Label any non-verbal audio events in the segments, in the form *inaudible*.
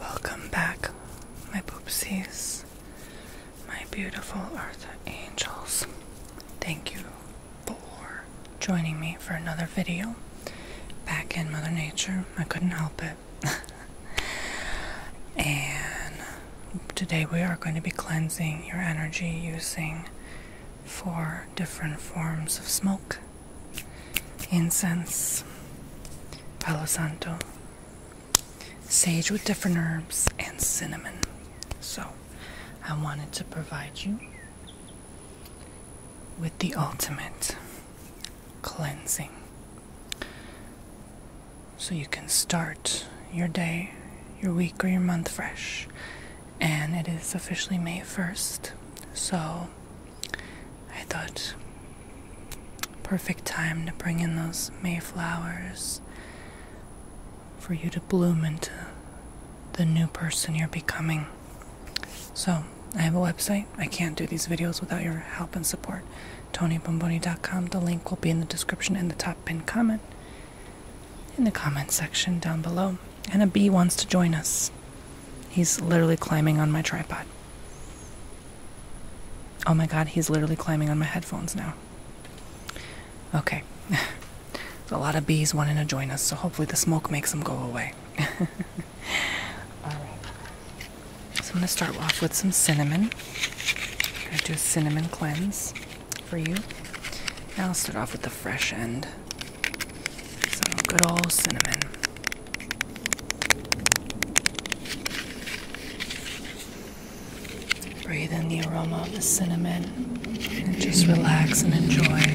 Welcome back, my poopsies, my beautiful earth angels. Thank you for joining me for another video. Back in Mother Nature, I couldn't help it. *laughs* and today we are going to be cleansing your energy using for different forms of smoke, incense, palo santo, sage with different herbs, and cinnamon. So, I wanted to provide you with the ultimate cleansing. So you can start your day, your week, or your month fresh and it is officially May 1st. So I thought perfect time to bring in those Mayflowers for you to bloom into the new person you're becoming. So I have a website. I can't do these videos without your help and support. TonyBomboni.com. The link will be in the description and the top pin comment in the comment section down below. And a bee wants to join us. He's literally climbing on my tripod. Oh my god, he's literally climbing on my headphones now. Okay. *laughs* a lot of bees wanting to join us, so hopefully the smoke makes them go away. *laughs* Alright. So I'm going to start off with some cinnamon. I'm going to do a cinnamon cleanse for you. Now I'll start off with the fresh end. Some good old cinnamon. Breathe in the aroma of the cinnamon and just relax and enjoy.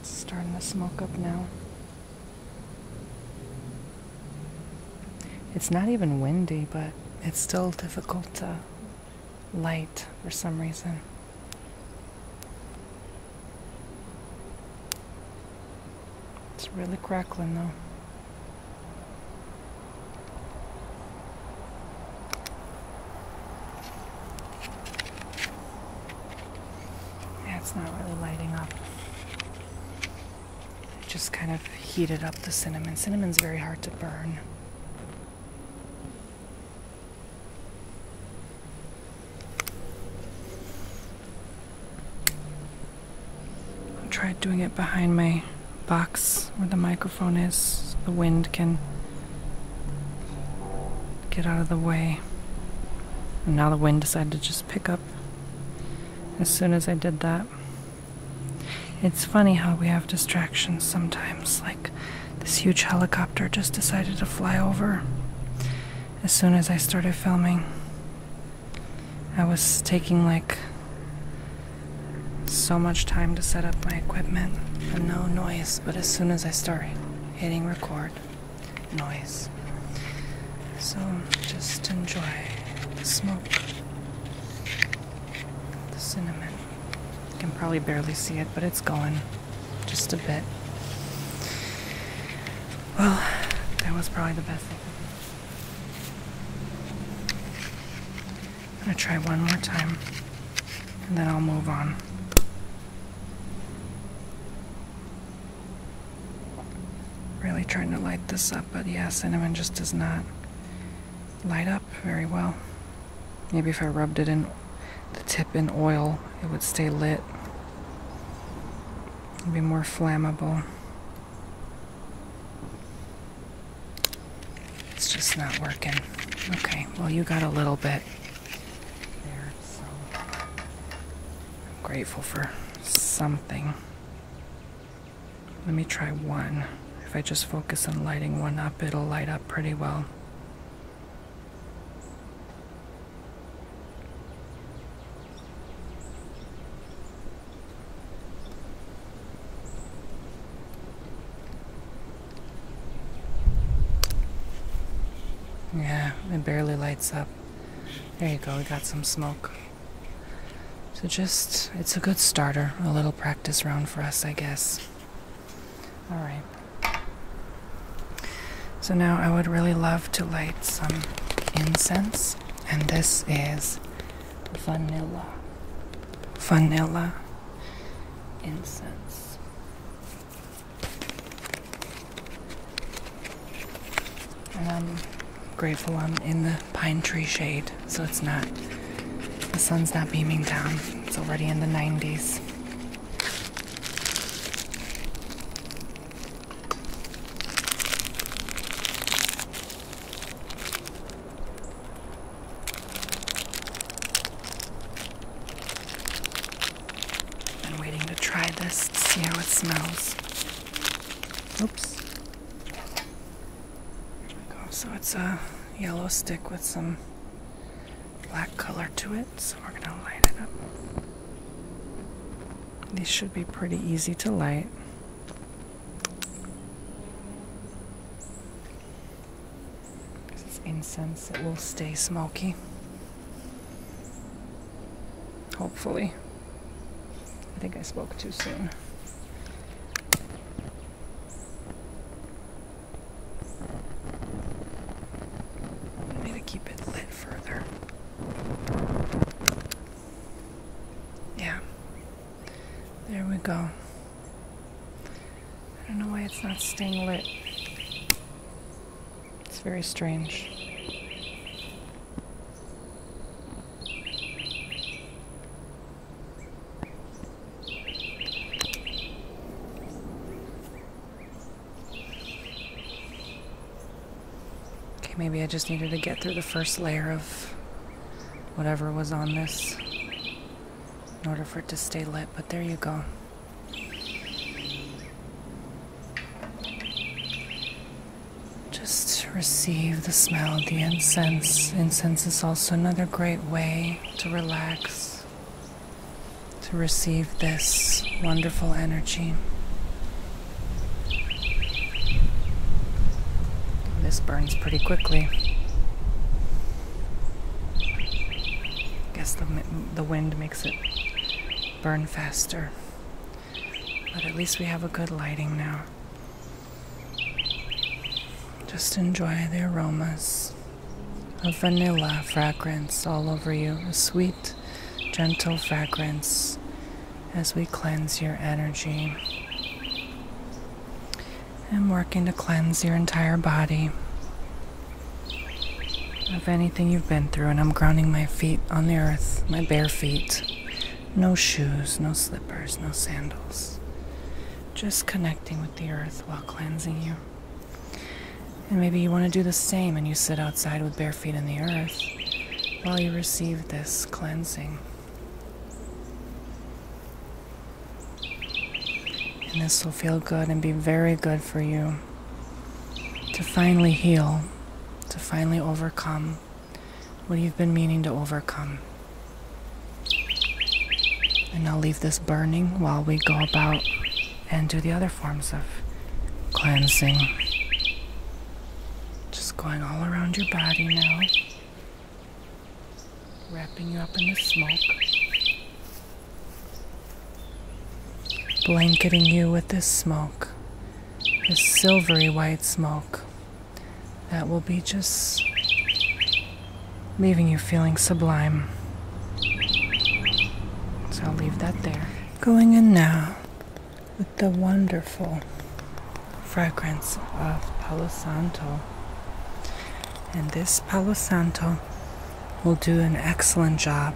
It's starting to smoke up now. It's not even windy, but it's still difficult to light for some reason. It's really crackling though. Yeah, it's not really lighting up. It just kind of heated up the cinnamon. Cinnamon's very hard to burn. I tried doing it behind my box where the microphone is the wind can get out of the way. And now the wind decided to just pick up as soon as I did that. It's funny how we have distractions sometimes, like this huge helicopter just decided to fly over as soon as I started filming. I was taking like so much time to set up my equipment and no noise, but as soon as I started hitting record noise. So just enjoy the smoke, the cinnamon. You can probably barely see it, but it's going just a bit. Well, that was probably the best thing. I'm gonna try one more time and then I'll move on really trying to light this up, but yeah, cinnamon just does not light up very well. Maybe if I rubbed it in the tip in oil, it would stay lit. It'd be more flammable. It's just not working. Okay, well, you got a little bit. I'm grateful for something. Let me try one. If I just focus on lighting one up, it'll light up pretty well. Yeah, it barely lights up. There you go, we got some smoke. So just, it's a good starter, a little practice round for us, I guess. Alright. So now I would really love to light some incense, and this is vanilla. Vanilla incense. And I'm grateful I'm in the pine tree shade, so it's not, the sun's not beaming down. It's already in the 90s. I'm waiting to try this to see how it smells. Oops. So it's a yellow stick with some black color to it. So we're going to light it up. These should be pretty easy to light. This is incense, it will stay smoky. Hopefully. I think I spoke too soon. I need to keep it lit further. Yeah. There we go. I don't know why it's not staying lit. It's very strange. Okay, maybe I just needed to get through the first layer of whatever was on this in order for it to stay lit, but there you go. Just receive the smell of the incense. Incense is also another great way to relax, to receive this wonderful energy. This burns pretty quickly. I guess the, the wind makes it burn faster. But at least we have a good lighting now. Just enjoy the aromas of vanilla fragrance all over you, a sweet, gentle fragrance as we cleanse your energy. I'm working to cleanse your entire body of anything you've been through. And I'm grounding my feet on the earth, my bare feet. No shoes, no slippers, no sandals. Just connecting with the earth while cleansing you. And maybe you want to do the same and you sit outside with bare feet in the earth while you receive this cleansing. And this will feel good and be very good for you to finally heal, to finally overcome what you've been meaning to overcome. And I'll leave this burning while we go about and do the other forms of cleansing. Just going all around your body now wrapping you up in the smoke, blanketing you with this smoke, this silvery white smoke that will be just leaving you feeling sublime. So I'll leave that there. Going in now with the wonderful fragrance of Palo Santo. And this Palo Santo will do an excellent job,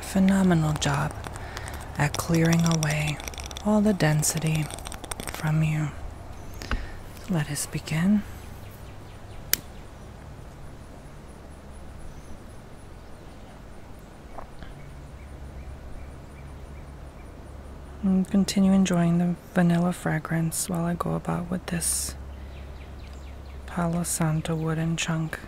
phenomenal job at clearing away all the density from you. Let us begin. And continue enjoying them vanilla fragrance while I go about with this Palo Santo wooden chunk.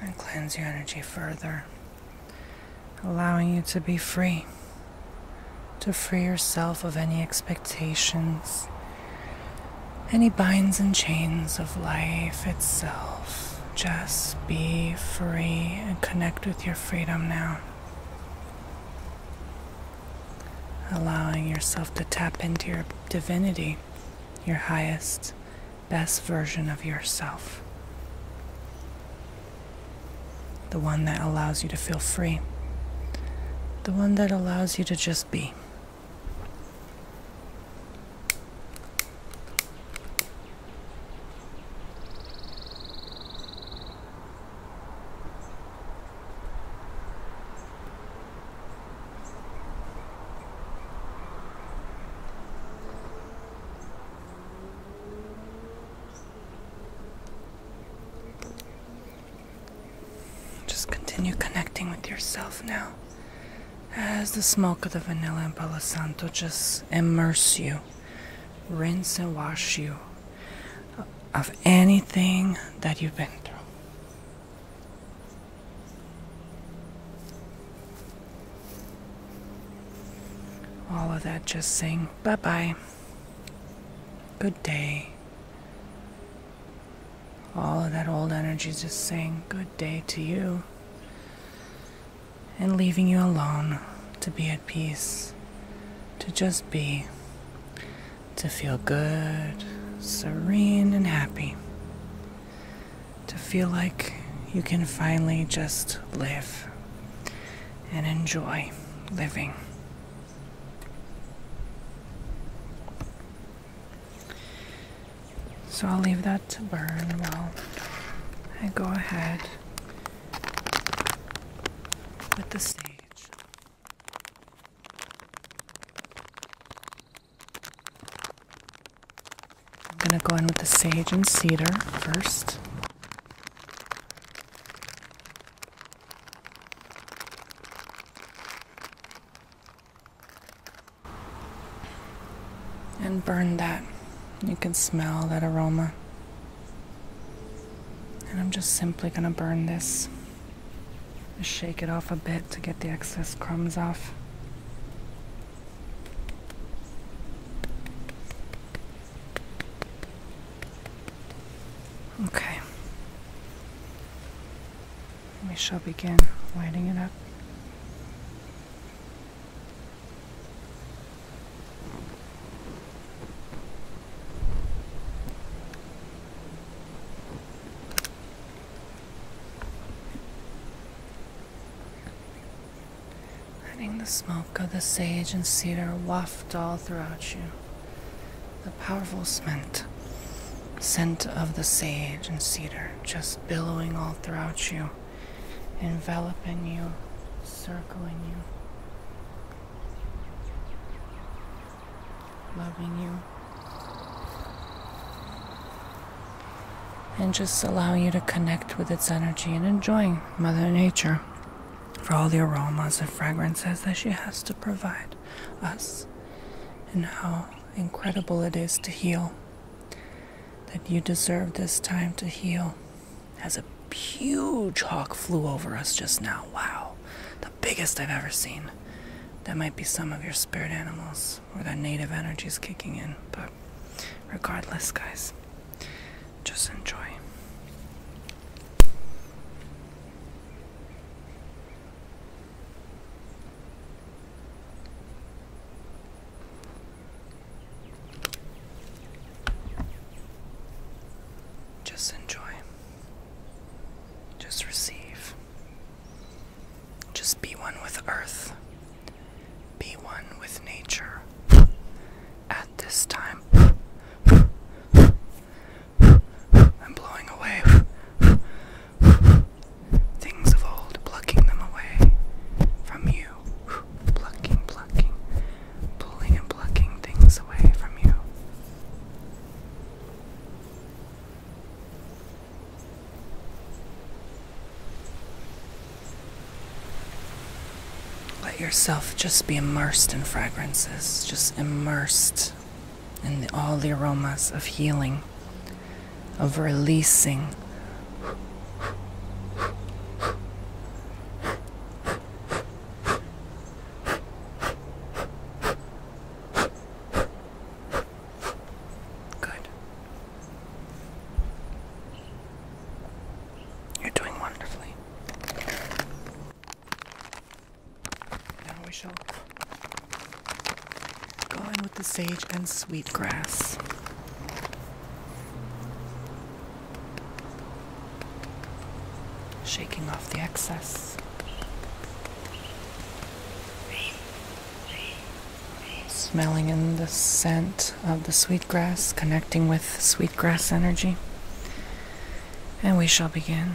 And cleanse your energy further, allowing you to be free, to free yourself of any expectations, any binds and chains of life itself. Just be free and connect with your freedom now. Allowing yourself to tap into your divinity, your highest, best version of yourself. The one that allows you to feel free. The one that allows you to just be. Just continue connecting with yourself now as the smoke of the vanilla and palo santo just immerse you, rinse and wash you of anything that you've been through. All of that just saying bye bye, good day, all of that old energy just saying good day to you and leaving you alone to be at peace, to just be, to feel good, serene, and happy, to feel like you can finally just live and enjoy living. So I'll leave that to burn while I go ahead with the stage. I'm going to go in with the sage and cedar first and burn that. You can smell that aroma. And I'm just simply going to burn this. Shake it off a bit to get the excess crumbs off. Okay. We shall begin lighting it up. Letting the smoke of the sage and cedar waft all throughout you. The powerful scent Scent of the sage and cedar just billowing all throughout you, enveloping you, circling you, loving you, and just allowing you to connect with its energy and enjoying Mother Nature for all the aromas and fragrances that she has to provide us and how incredible it is to heal, that you deserve this time to heal. As a huge hawk flew over us just now. Wow. The biggest I've ever seen. That might be some of your spirit animals or their native energies kicking in, but regardless, guys, just enjoy. Just enjoy. Just receive. Just be one with earth. Be one with nature. At this time, I'm blowing away *laughs* Things of old, plucking them away from you. *sighs* Plucking, plucking, pulling and plucking things away from you. Let yourself just be immersed in fragrances, just immersed and all the aromas of healing, of releasing. Good. You're doing wonderfully. Now we shall Going with the sage and sweetgrass, Shaking off the excess. Smelling in the scent of the sweetgrass, connecting with sweetgrass energy. And we shall begin.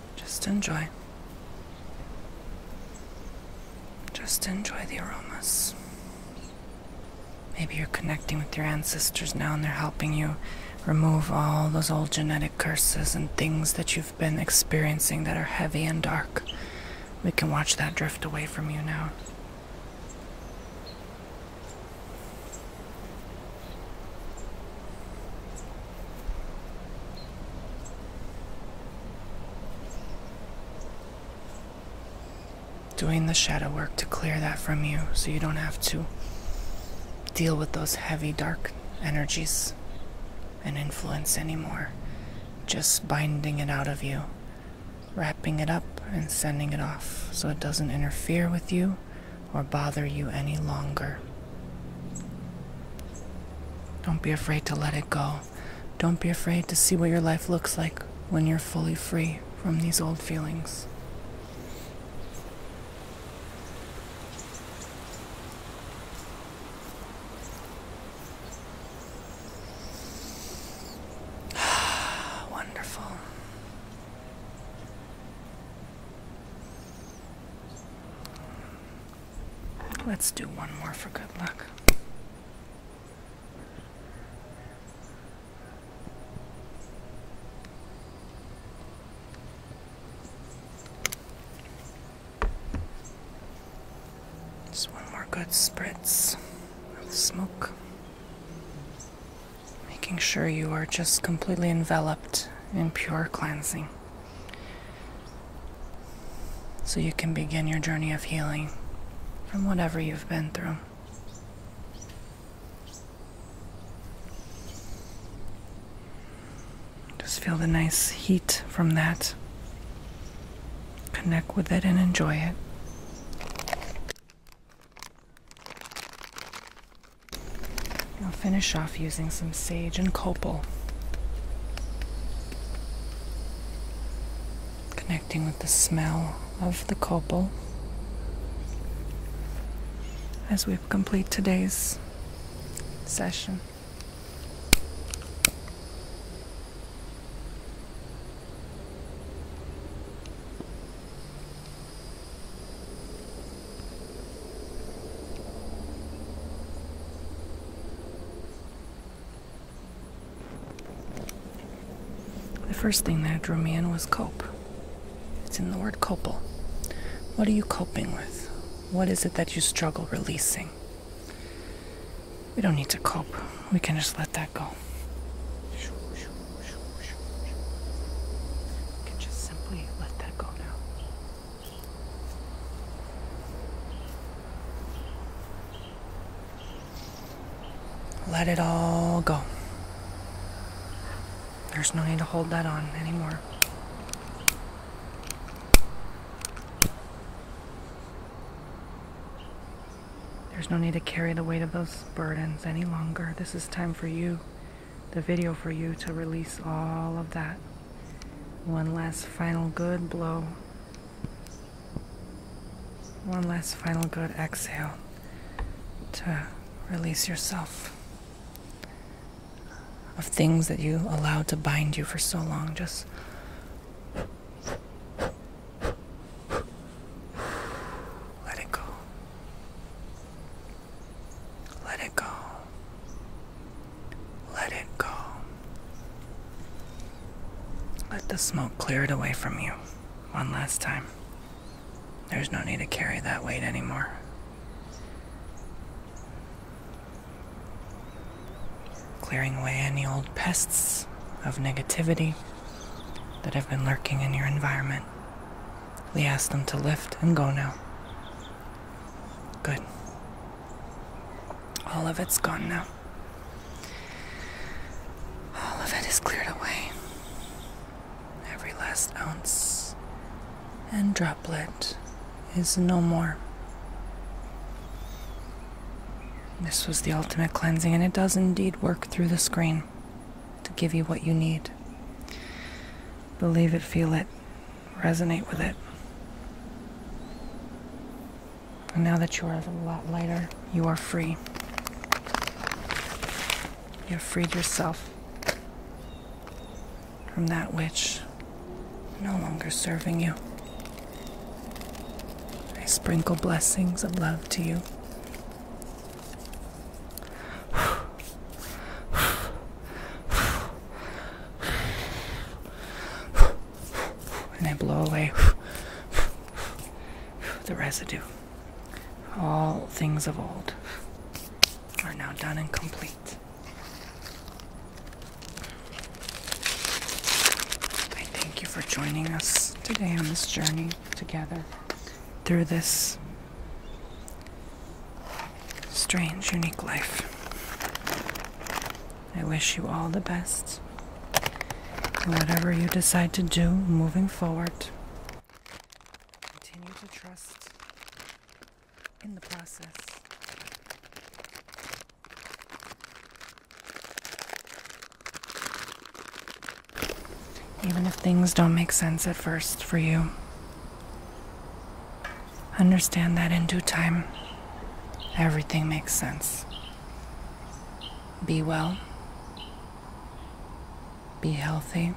Just enjoy. Just enjoy the aromas. Maybe you're connecting with your ancestors now and they're helping you remove all those old genetic curses and things that you've been experiencing that are heavy and dark. We can watch that drift away from you now. Doing the shadow work to clear that from you so you don't have to deal with those heavy, dark energies and influence anymore. Just binding it out of you, wrapping it up, and sending it off so it doesn't interfere with you or bother you any longer. Don't be afraid to let it go. Don't be afraid to see what your life looks like when you're fully free from these old feelings. *sighs* Wonderful. Let's do one more for good luck. Just one more good spritz of smoke. Making sure you are just completely enveloped in pure cleansing so you can begin your journey of healing from whatever you've been through. Just feel the nice heat from that. Connect with it and enjoy it finish off using some sage and copal. Connecting with the smell of the copal as we complete today's session. The first thing that drew me in was cope. It's in the word copal. What are you coping with? What is it that you struggle releasing? We don't need to cope. We can just let that go. We can just simply let that go now. Let it all go. There's no need to hold that on anymore. There's no need to carry the weight of those burdens any longer. This is time for you, the video for you to release all of that. One last final good blow. One last final good exhale to release yourself of things that you allowed to bind you for so long. Just let it go. Let it go. Let it go. Let the smoke clear it away from you one last time. There's no need to carry that weight anymore. Clearing away any old pests of negativity that have been lurking in your environment. We ask them to lift and go now. Good. All of it's gone now. All of it is cleared away. Every last ounce and droplet is no more. This was the ultimate cleansing, and it does indeed work through the screen to give you what you need. Believe it, feel it, resonate with it. And now that you are a lot lighter, you are free. You have freed yourself from that which no longer serving you. I sprinkle blessings of love to you. *sighs* *sighs* and they blow away *sighs* the residue. All things of old are now done and complete. I thank you for joining us today on this journey together through this strange, unique life. I wish you all the best whatever you decide to do moving forward. Continue to trust in the process. Even if things don't make sense at first for you, Understand that in due time, everything makes sense. Be well, be healthy,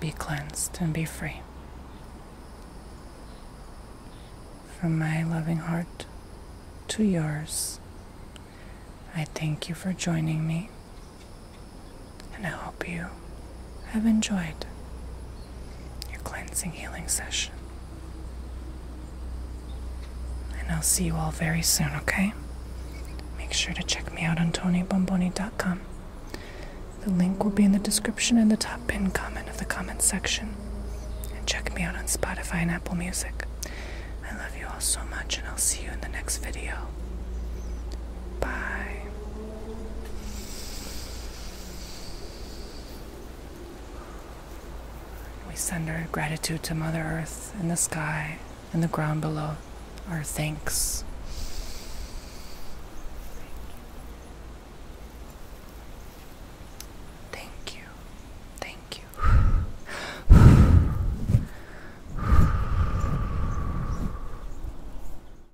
be cleansed, and be free. From my loving heart to yours, I thank you for joining me and I hope you have enjoyed your cleansing healing session. And I'll see you all very soon, okay? Make sure to check me out on TonyBomboni.com. The link will be in the description and the top pinned comment of the comments section. And check me out on Spotify and Apple Music. I love you all so much, and I'll see you in the next video. Bye. We send our gratitude to Mother Earth in the sky and the ground below. Our thanks. Thank you. Thank you.